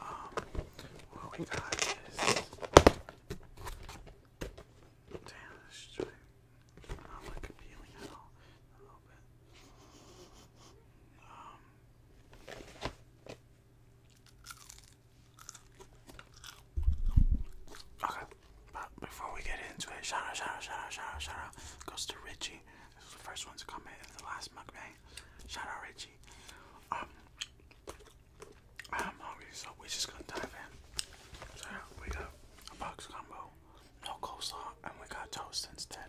um, what we um, Okay, but before we get into it, shout out, shout out, shout goes to Richie. This is the first one to comment in the last mukbang. Shout out Richie. Um, I'm hungry, so we're just gonna dive in. So we got a box combo, no coleslaw, and we got toast instead.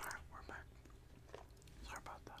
Alright, we're back. Sorry about that.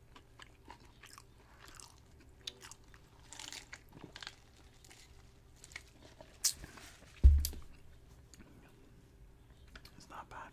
It's not bad.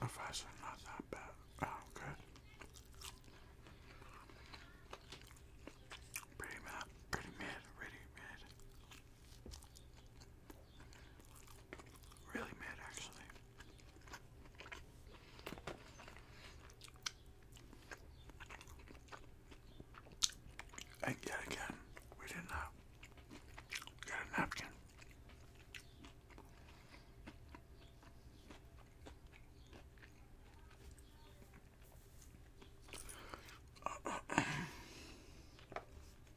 The fries not that bad. Oh, good. Pretty mad. Pretty mad. Pretty mad. Really mad, actually. And yet again, we did not get a napkin.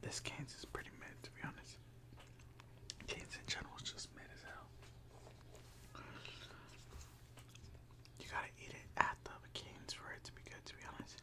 This Kansas is pretty mad, to be honest. Kansas in general is just mad as hell. You gotta eat it at the Canes for it to be good, to be honest.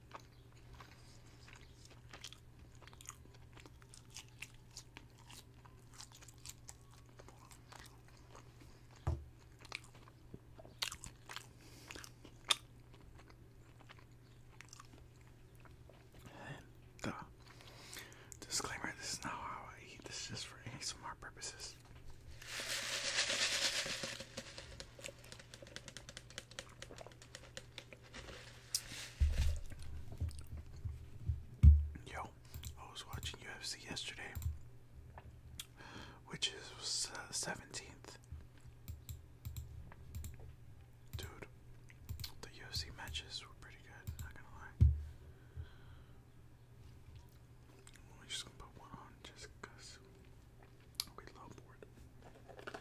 And, uh, disclaimer this is not how I eat, this is just for ASMR purposes. Yo, I was watching UFC yesterday, which is uh, 17th. Dude, the UFC matches were pretty good, not gonna lie. I'm just gonna put one on just we love board.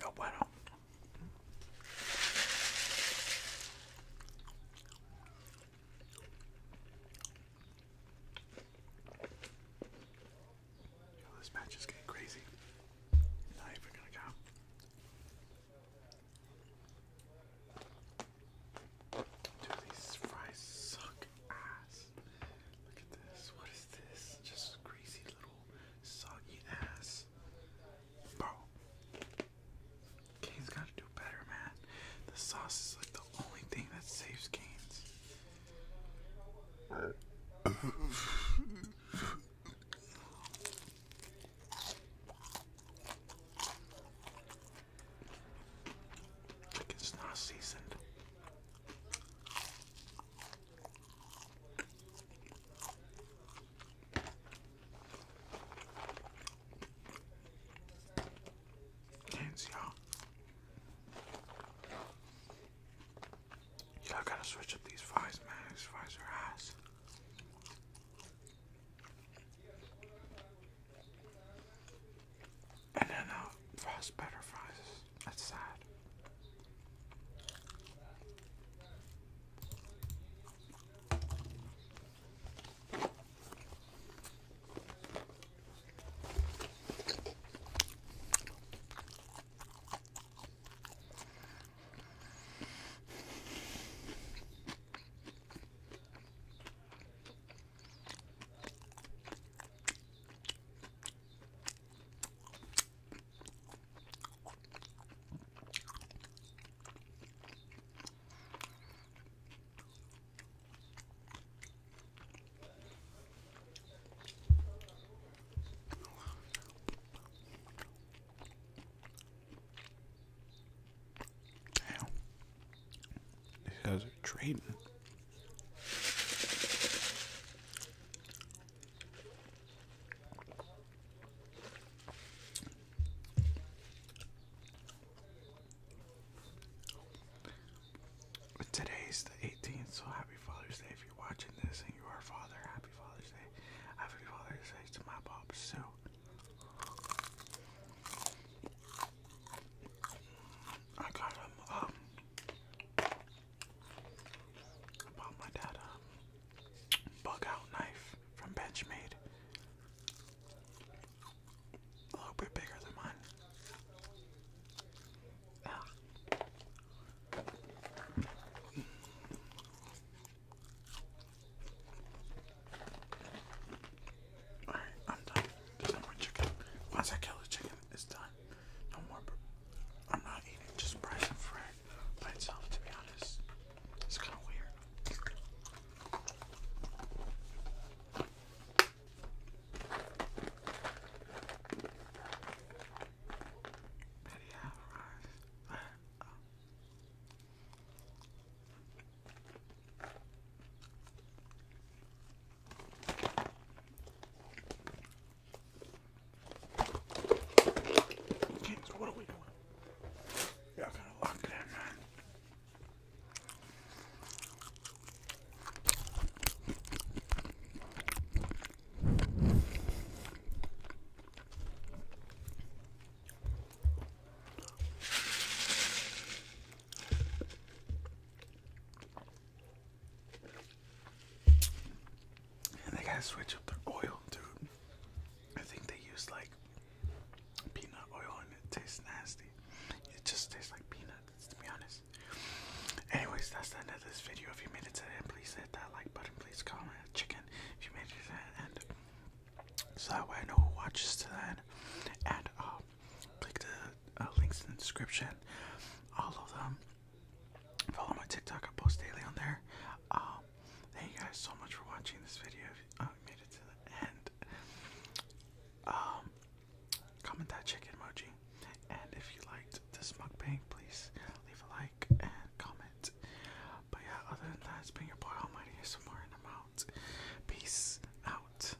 No bueno. this match is getting crazy. Not even gonna count. Dude, these fries suck ass. Look at this. What is this? Just greasy little soggy ass. Bro. Kane's gotta do better, man. The sauce is like the only thing that saves Kane's. Like not seasoned. Hands, y'all. Y'all gotta switch up these fries, man. These ass. And then uh, Frost Butter Fries. That's sad. Damn. These guys are trading today is the 18th, so happy Father's Day if you're watching this and you are a father. Happy Father's Day. Happy Father's Day to my pops, So, I got him um, I bought my dad a bug out knife from Benchmade. A little bit bigger than mine. Ah. Alright, I'm done. There's more chicken. Once I kill the chicken, it's done. No more. I'm not eating just bread and fried by itself, to be honest. It's kind of weird. Betty Okay, so what are we doing? Yeah, I gotta lock that man. And they gotta switch up their oil, dude. I think they use like peanut oil and it tastes nasty. It just tastes like peanuts, to be honest. Anyways, that's the end of this video. If you made it to the end, please hit that like button. Please comment chicken if you made it to the end. So that way I know who watches to the And um, click the uh, links in the description. All of them. Follow my TikTok. I post daily on there. Um, thank you guys so much for watching this video. If uh, made it to the end, um, comment that chicken emoji. And if you liked this mug mukbang, please leave a like and comment. But yeah, other than that, it's been your boy Almighty ASMR more in the mountains. Peace out.